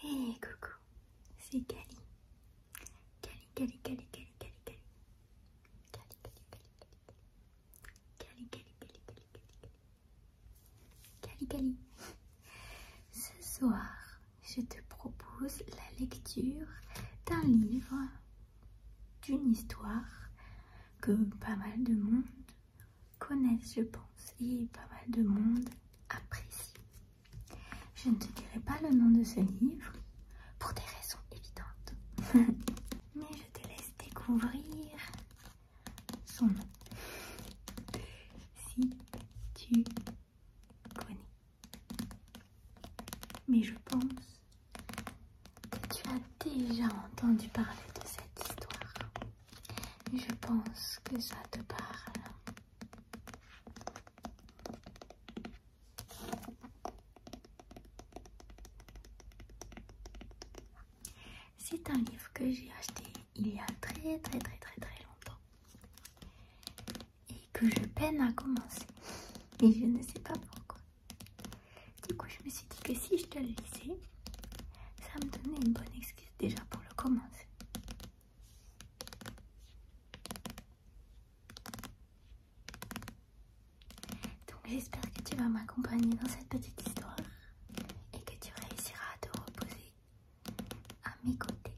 Hey coucou, c'est Cali. Cali, Cali, Cali, Cali, Cali, Cali. Cali, Cali, Cali, Cali, Cali. Cali, Cali, Cali, Ce soir, je te propose la lecture d'un livre, d'une histoire que pas mal de monde connaissent, je pense, et pas mal de monde apprécie. Je ne te dirai pas le nom de ce livre, pour des raisons évidentes. Mais je te laisse découvrir son nom. Si tu connais. Mais je pense que tu as déjà entendu parler de cette histoire. Je pense que ça te parle. C'est un livre que j'ai acheté il y a très très très très très longtemps et que je peine à commencer et je ne sais pas pourquoi. Du coup je me suis dit que si je te le lisais, ça me donnait une bonne excuse déjà pour le commencer. Donc j'espère que tu vas m'accompagner dans cette petite histoire et que tu réussiras à te reposer à mes côtés.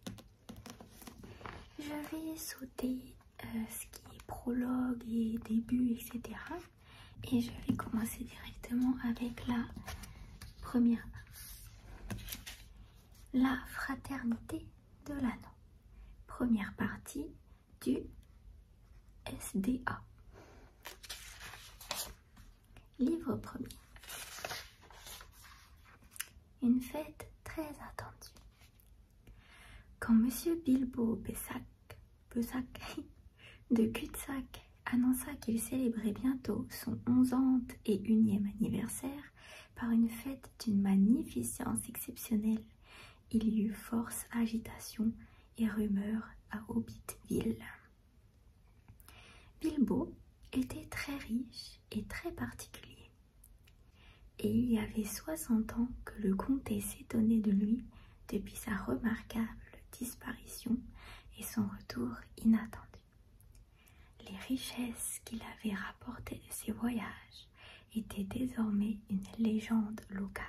Je vais sauter euh, ce qui est prologue et début, etc. Et je vais commencer directement avec la première. La fraternité de l'anneau. Première partie du SDA. Livre premier. Une fête très attendue. Quand Monsieur Bilbo Bessac, de Cutsac annonça qu'il célébrait bientôt son 11 ans et unième anniversaire par une fête d'une magnificence exceptionnelle. Il y eut force agitation et rumeurs à Hobbitville. Bilbo était très riche et très particulier. Et il y avait soixante ans que le comté s'étonnait de lui depuis sa remarquable disparition et son retour inattendu. Les richesses qu'il avait rapportées de ses voyages étaient désormais une légende locale,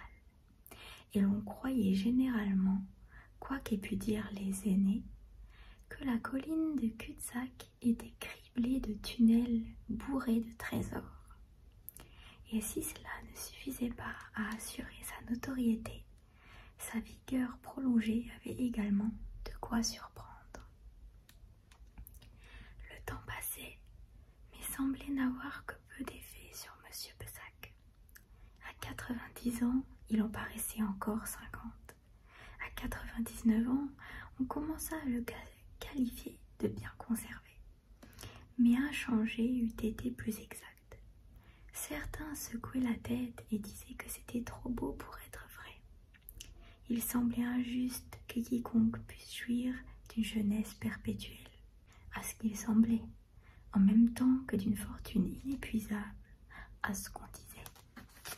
et l'on croyait généralement, quoi qu'aient pu dire les aînés, que la colline de Cutsac était criblée de tunnels bourrés de trésors. Et si cela ne suffisait pas à assurer sa notoriété, sa vigueur prolongée avait également de quoi surprendre. Le temps passait, mais semblait n'avoir que peu d'effet sur M. Pessac. À 90 ans, il en paraissait encore cinquante. À 99 ans, on commença à le qualifier de bien conservé. Mais un changé eût été plus exact. Certains secouaient la tête et disaient que c'était trop beau pour être vrai. Il semblait injuste que quiconque puisse jouir d'une jeunesse perpétuelle, à ce qu'il semblait, en même temps que d'une fortune inépuisable, à ce qu'on disait.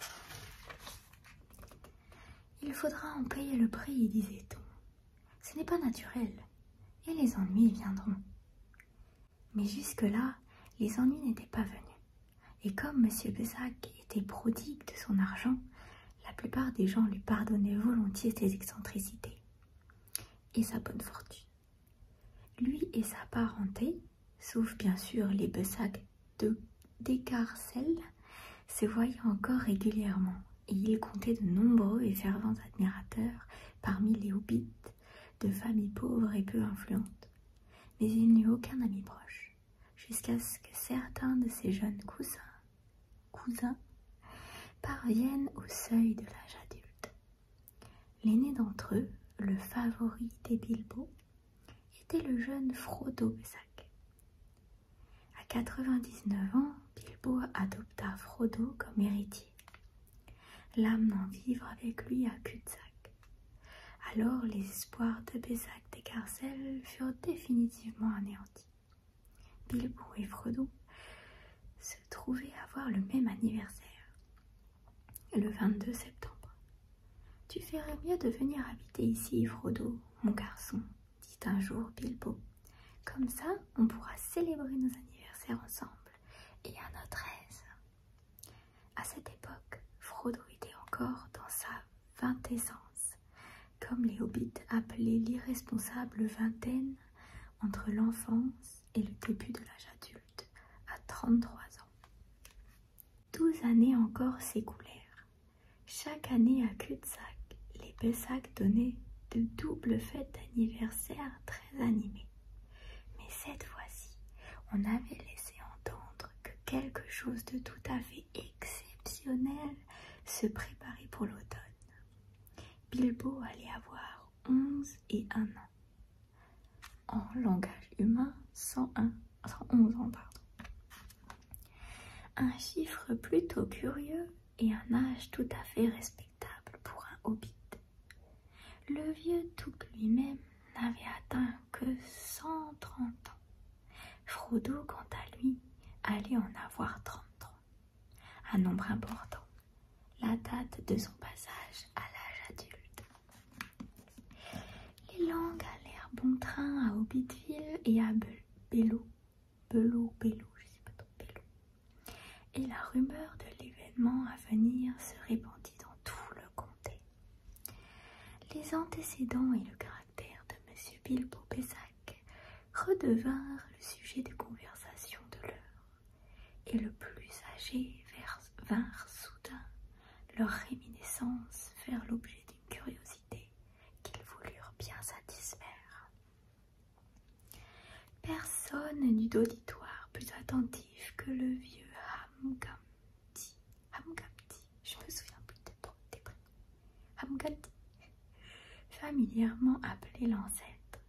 Il faudra en payer le prix, disait-on. Ce n'est pas naturel, et les ennuis viendront. Mais jusque-là, les ennuis n'étaient pas venus. Et comme M. Bessac était prodigue de son argent, la plupart des gens lui pardonnaient volontiers ses excentricités et sa bonne fortune. Lui et sa parenté, sauf bien sûr les Besac Descarcelles, se voyaient encore régulièrement et il comptait de nombreux et fervents admirateurs parmi les hobbits de familles pauvres et peu influentes mais il n'eut aucun ami proche, jusqu'à ce que certains de ses jeunes cousins, parviennent au seuil de l'âge adulte. L'aîné d'entre eux, le favori des Bilbo, était le jeune Frodo Besac. À 99 ans, Bilbo adopta Frodo comme héritier, l'amenant vivre avec lui à Cutzac. Alors les espoirs de Bézac Carcel furent définitivement anéantis. Bilbo et Frodo se trouvaient à avoir le même anniversaire, le 22 septembre. Tu ferais mieux de venir habiter ici, Frodo, mon garçon, dit un jour Bilbo. Comme ça, on pourra célébrer nos anniversaires ensemble et à notre aise. À cette époque, Frodo était encore dans sa vingtessence, comme les hobbits appelaient l'irresponsable vingtaine entre l'enfance et le début de l'âge adulte, à 33 ans. Douze années encore s'écoulèrent. Chaque année à cul de les Bessac donnaient de doubles fêtes d'anniversaire très animées. Mais cette fois-ci, on avait laissé entendre que quelque chose de tout à fait exceptionnel se préparait pour l'automne. Bilbo allait avoir 11 et un ans. En langage humain, 101, 111 ans, Un chiffre plutôt curieux et un âge tout à fait respectable pour un hobbit. Le vieux Touk lui-même n'avait atteint que cent trente ans. Frodo, quant à lui, allait en avoir trente ans un nombre important, la date de son passage à l'âge adulte. Les langues allèrent bon train à Hobbitville et à belou je sais pas trop, Et la rumeur de l'événement à venir se répandit dans tout le comté. Les antécédents et le caractère de monsieur Bilbo Bessac redevinrent le sujet de conversations de l'heure, et le plus âgé vinrent soudain leur réminiscences faire l'objet d'une curiosité qu'ils voulurent bien satisfaire. Personne n'eut d'auditoire plus attentif que le vieux Hamgum je me souviens plus de toi, familièrement appelé l'ancêtre.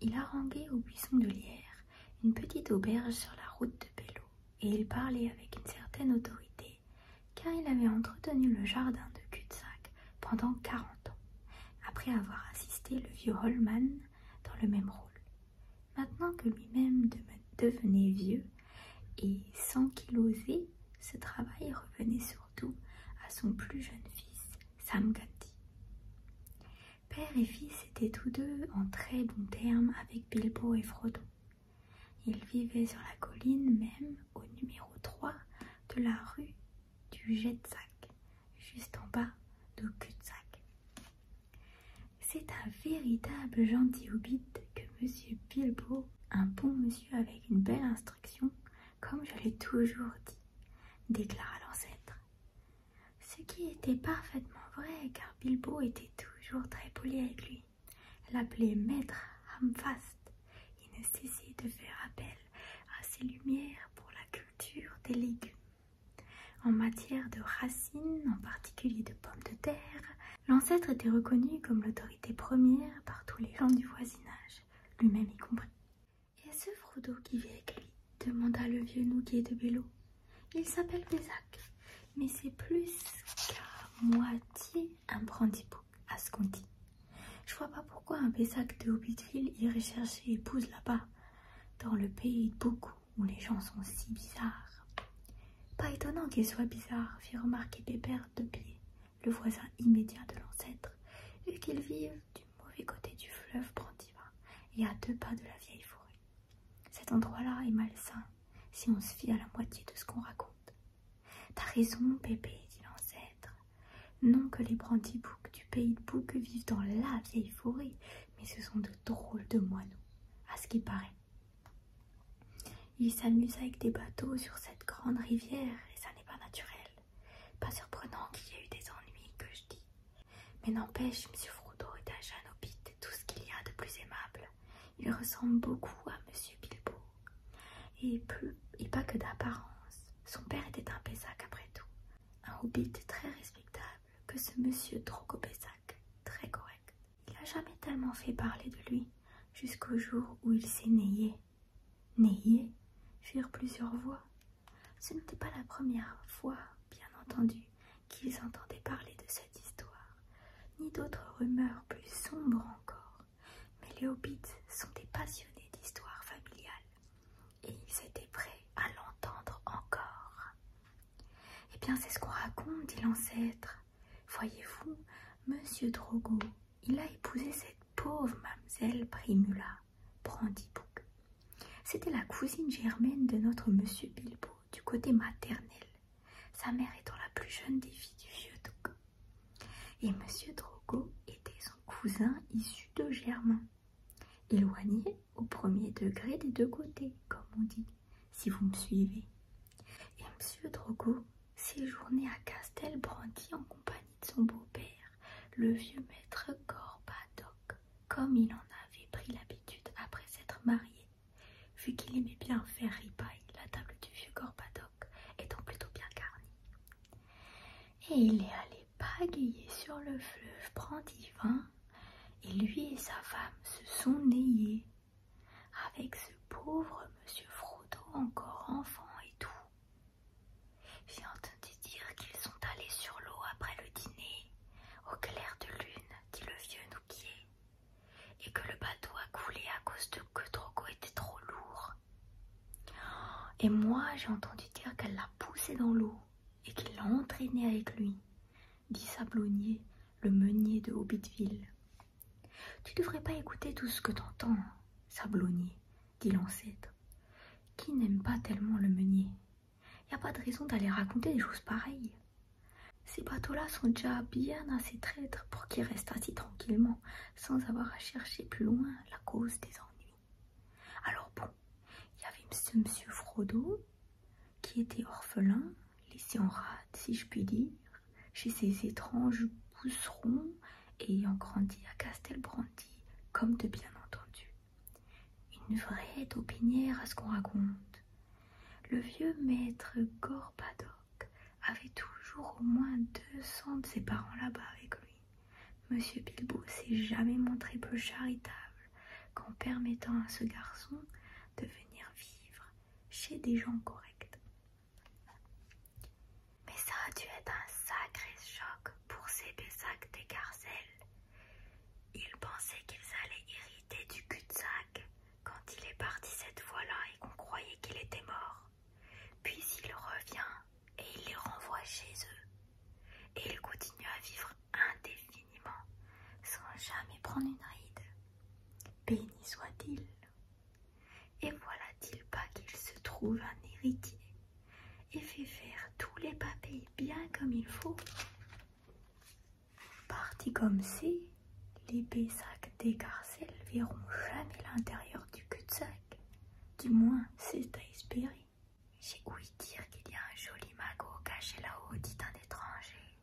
Il haranguait au buisson de lierre une petite auberge sur la route de Bello, et il parlait avec une certaine autorité, car il avait entretenu le jardin de cul pendant quarante ans, après avoir assisté le vieux Holman dans le même rôle, Maintenant que lui-même devenait vieux et sans qu'il osait, ce travail revenait surtout à son plus jeune fils, Samgati. Père et fils étaient tous deux en très bon terme avec Bilbo et Frodo. Ils vivaient sur la colline même au numéro trois de la rue du Jetzak, juste en bas de Kutsac. C'est un véritable gentil hobbit que Monsieur Bilbo, un bon monsieur avec une belle instruction, comme je l'ai toujours dit, déclara l'ancêtre. Ce qui était parfaitement vrai, car Bilbo était toujours très poli avec lui, l'appelait Maître Hamfast et ne cessait de faire appel à ses lumières pour la culture des légumes. En matière de racines, en particulier de pommes de terre, l'ancêtre était reconnu comme l'autorité première par tous les gens du voisinage, lui-même y compris. Et ce Frodo qui vit avec lui demanda le vieux nouguet de Bello. Il s'appelle Bézac, mais c'est plus qu'à moitié un brandy à ce qu'on dit. Je vois pas pourquoi un Bézac de Hobbitville irait chercher épouse là-bas, dans le pays de beaucoup où les gens sont si bizarres. Pas étonnant qu'ils soient bizarres, fit remarquer Pépère de pied, le voisin immédiat de l'ancêtre, vu qu'ils vivent du mauvais côté du fleuve Brandiva, et à deux pas de la vieille forêt. Cet endroit-là est malsain si on se fie à la moitié de ce qu'on raconte. T'as raison, Pépé, dit l'ancêtre. Non que les brandiboucs du pays de Bouc vivent dans la vieille forêt, mais ce sont de drôles de moineaux. À ce qui paraît, il s'amuse avec des bateaux sur cette grande rivière et ça n'est pas naturel. Pas surprenant qu'il y ait eu des ennuis que je dis. Mais n'empêche, M. Frodo est un jeune Hobbit tout ce qu'il y a de plus aimable. Il ressemble beaucoup à M. Bilbo. Et, et pas que d'apparence. Son père était un Pessac après tout. Un hobbit très respectable que ce monsieur Drogobessac, très correct. Il n'a jamais tellement fait parler de lui, jusqu'au jour où il s'est nayé. Nayé firent plusieurs voix. Ce n'était pas la première fois, bien entendu, qu'ils entendaient parler de cette histoire, ni d'autres rumeurs plus sombres encore. Mais les hobbits sont des passionnés d'histoire familiale, et ils étaient prêts à l'entendre encore. Eh bien, c'est ce qu'on raconte, dit l'ancêtre. Voyez-vous, monsieur Drogo, il a épousé cette pauvre mademoiselle Primula, Bouc. C'était la cousine germaine de notre monsieur Bilbo, du côté maternel, sa mère étant la plus jeune des filles du vieux Drogo. Et monsieur Drogo était son cousin issu de Germain, éloigné au premier degré des deux côtés, comme on dit, si vous me suivez. Et M. Drogo séjournait à Castelbrandy en compagnie de son beau-père, le vieux maître Gorbadoc, comme il en avait pris l'habitude après s'être marié, vu qu'il aimait bien faire ripaille, la table du vieux Gorbadoc étant plutôt bien garnie. Et il est allé pagayer sur le fleuve Brandivin, et lui et sa femme se sont nayés avec ce pauvre monsieur Frodo encore enfant et tout. J'ai entendu dire qu'ils sont allés sur l'eau après le dîner, au clair de lune, dit le vieux Nouquier, et que le bateau a coulé à cause de que Drogo était trop lourd. Et moi, j'ai entendu dire qu'elle l'a poussé dans l'eau et qu'il l'a entraîné avec lui, dit Sablonnier, le meunier de Hobbitville. Tu ne devrais pas écouter tout ce que t'entends, hein, Sablonnier, dit l'ancêtre. Qui n'aime pas tellement le meunier Il Y a pas de raison d'aller raconter des choses pareilles. Ces bateaux-là sont déjà bien assez traîtres pour qu'ils restent ainsi tranquillement, sans avoir à chercher plus loin la cause des ennuis. Alors bon, il y avait monsieur Frodo qui était orphelin, laissé en rade, si je puis dire, chez ces étranges pousserons et ayant grandi à Castelbrandi, comme de bien entendu. Une vraie taupinière à ce qu'on raconte. Le vieux maître Gorbadoc avait toujours au moins deux cents de ses parents là-bas avec lui. Monsieur Bilbo s'est jamais montré peu charitable qu'en permettant à ce garçon de venir vivre chez des gens corrects. Mais ça a dû être un sacré choc pour ces Bézac des Garcelles. Ils pensaient qu'ils allaient hériter du cul-de-sac quand il est parti cette fois-là et qu'on croyait qu'il était mort. Puis il revient et il les renvoie chez eux. Et ils continuent à vivre indéfiniment sans jamais prendre une ride. Béni soit-il. Et voilà-t-il pas qu'il se trouve un héritier et fait faire tous les papiers bien comme il faut Parti comme c'est, les Bessac des Garcelles verront jamais l'intérieur du cul-de-sac. Du moins, c'est à espérer. J'ai ouï dire qu'il y a un joli magot caché là-haut, dit un étranger.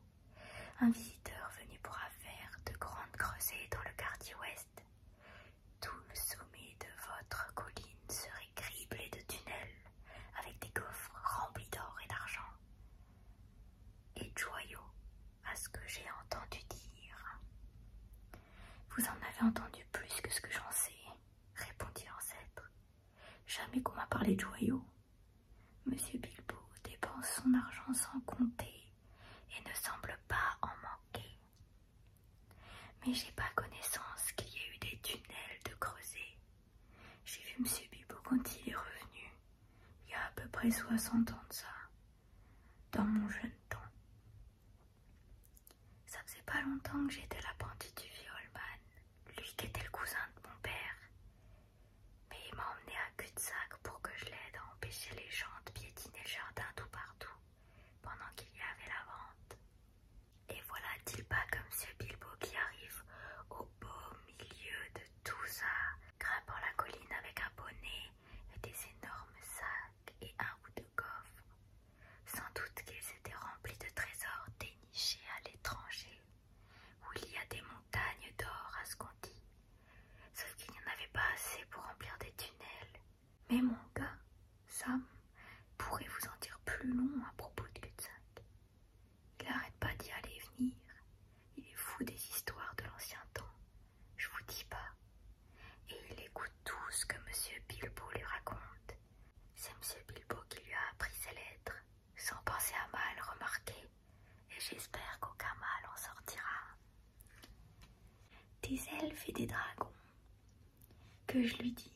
Un visiteur venu pour affaire de grandes creusées dans le quartier ouest. Tout le sommet de votre colline serait criblé de tunnels avec des coffres remplis d'or et d'argent. Et de joyaux, à ce que j'ai entendu dire. Vous en avez entendu plus que ce que j'en sais, répondit l'ancêtre. Jamais qu'on m'a parlé de joyaux. Monsieur Bilbo dépense son argent sans compter et ne semble pas en manquer. Mais j'ai pas connaissance qu'il y ait eu des tunnels de creuset. J'ai vu Monsieur Bilbo quand il est revenu, il y a à peu près 60 ans de ça, dans mon jeune temps. Ça faisait pas longtemps que j'étais l'apprenti du violman, lui qui était le cousin de mon père mais il m'a emmené à cul-de-sac pour que je l'aide à empêcher les gens de piétiner le jardin tout partout pendant qu'il y avait la vente. Et voilà il pas comme ce Bilbo qui arrive au beau milieu de tout ça, grimpant la colline avec un bonnet et des énormes sacs et un ou de coffre. Sans doute qu'ils étaient remplis de trésors dénichés à l'étranger où il y a des montagnes d'or à ce qu'on dit, sauf qu'il n'y en avait pas assez pour remplir des tunnels. Mais mon gars, Sam, pourrait vous en dire plus long à propos de Cutsac. Il n'arrête pas d'y aller et venir. Il est fou des histoires de l'ancien temps, je vous dis pas. Et il écoute tout ce que Monsieur Bilbo lui raconte. C'est Monsieur Bilbo qui lui a appris ses lettres, sans penser à mal remarquer et j'espère qu'aucun mal en sortira. Des elfes et des dragons, que je lui dis,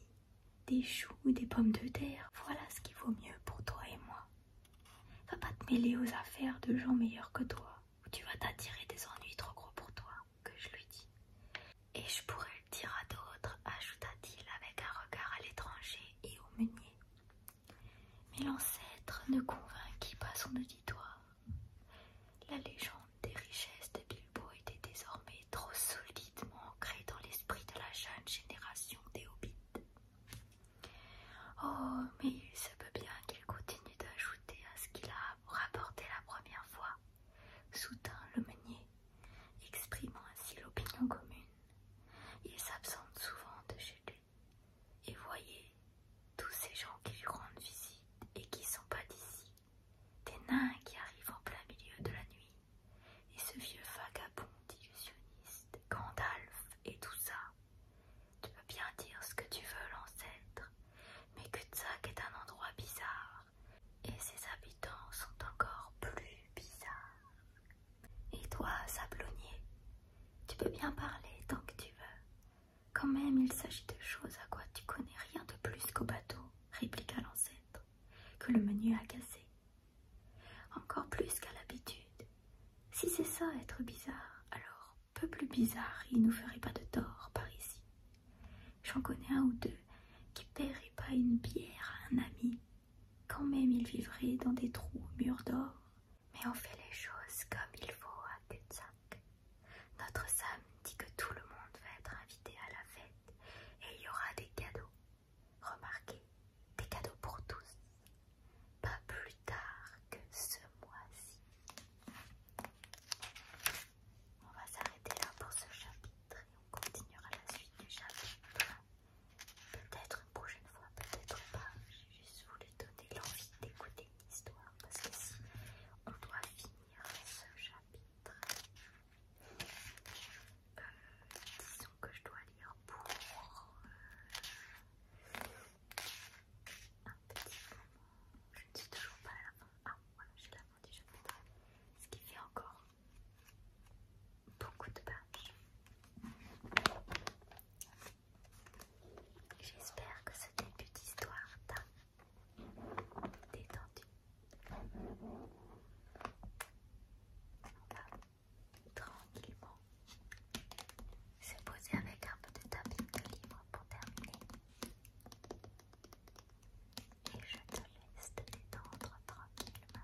des choux ou des pommes de terre, voilà ce qui vaut mieux pour toi et moi. Va pas te mêler aux affaires de gens meilleurs que toi, ou tu vas t'attirer des ennuis trop gros pour toi, que je lui dis. Et je pourrais le dire à d'autres, ajouta-t-il avec un regard à l'étranger et au meunier. Mais l'ancêtre ne convainquit pas son auditoire. La légende des richesses de Bilbo était désormais trop solidement ancrée dans l'esprit de la jeune génération des hobbits. Oh, mais il se peut bien qu'il continue d'ajouter à ce qu'il a rapporté la première fois, soutint le meunier, exprimant ainsi l'opinion commune. Il s'absente souvent de chez lui et voyez tous ces gens qui lui rendent visite et qui sont pas d'ici, des nains qui arrivent en plein milieu de la nuit, et ce vieux vagabond d'illusionniste, Gandalf et tout ça. Tu peux bien dire ce que tu veux, l'ancêtre, mais Kutzak est un endroit bizarre, et ses habitants sont encore plus bizarres. Et toi, sablonnier, tu peux bien parler tant que tu veux. Quand même, il s'agit de choses à quoi tu connais rien de plus qu'au bateau, répliqua l'ancêtre, que le menu a cassé. Encore plus qu'à l'habitude. Si c'est ça être bizarre, alors peu plus bizarre, il nous ferait pas de tort par ici. J'en connais un ou deux qui paieraient pas une bière à un ami quand même ils vivraient dans des trous mûrs d'or, mais on fait les choses comme il faut à Kutzak. Notre Sam dit que tout le monde va être invité à la fête et il y aura des cadeaux. Remarquez, des cadeaux pour tous. Pas plus tard que ce mois-ci. On va s'arrêter là pour ce chapitre et on continuera la suite du chapitre Peut-être une prochaine fois, peut-être pas. J'ai juste voulu donner l'envie d'écouter une histoire parce que si on doit finir ce chapitre, euh, disons que je dois lire pour euh, un petit moment. Je ne suis toujours pas à la fin. Ah, voilà, j'ai la fin du chapitre. Ce qui fait encore beaucoup de pages. J'espère que ce début d'histoire t'a détendu. On tranquillement se poser avec un peu de tapis de livre pour terminer. Et je te laisse te détendre tranquillement.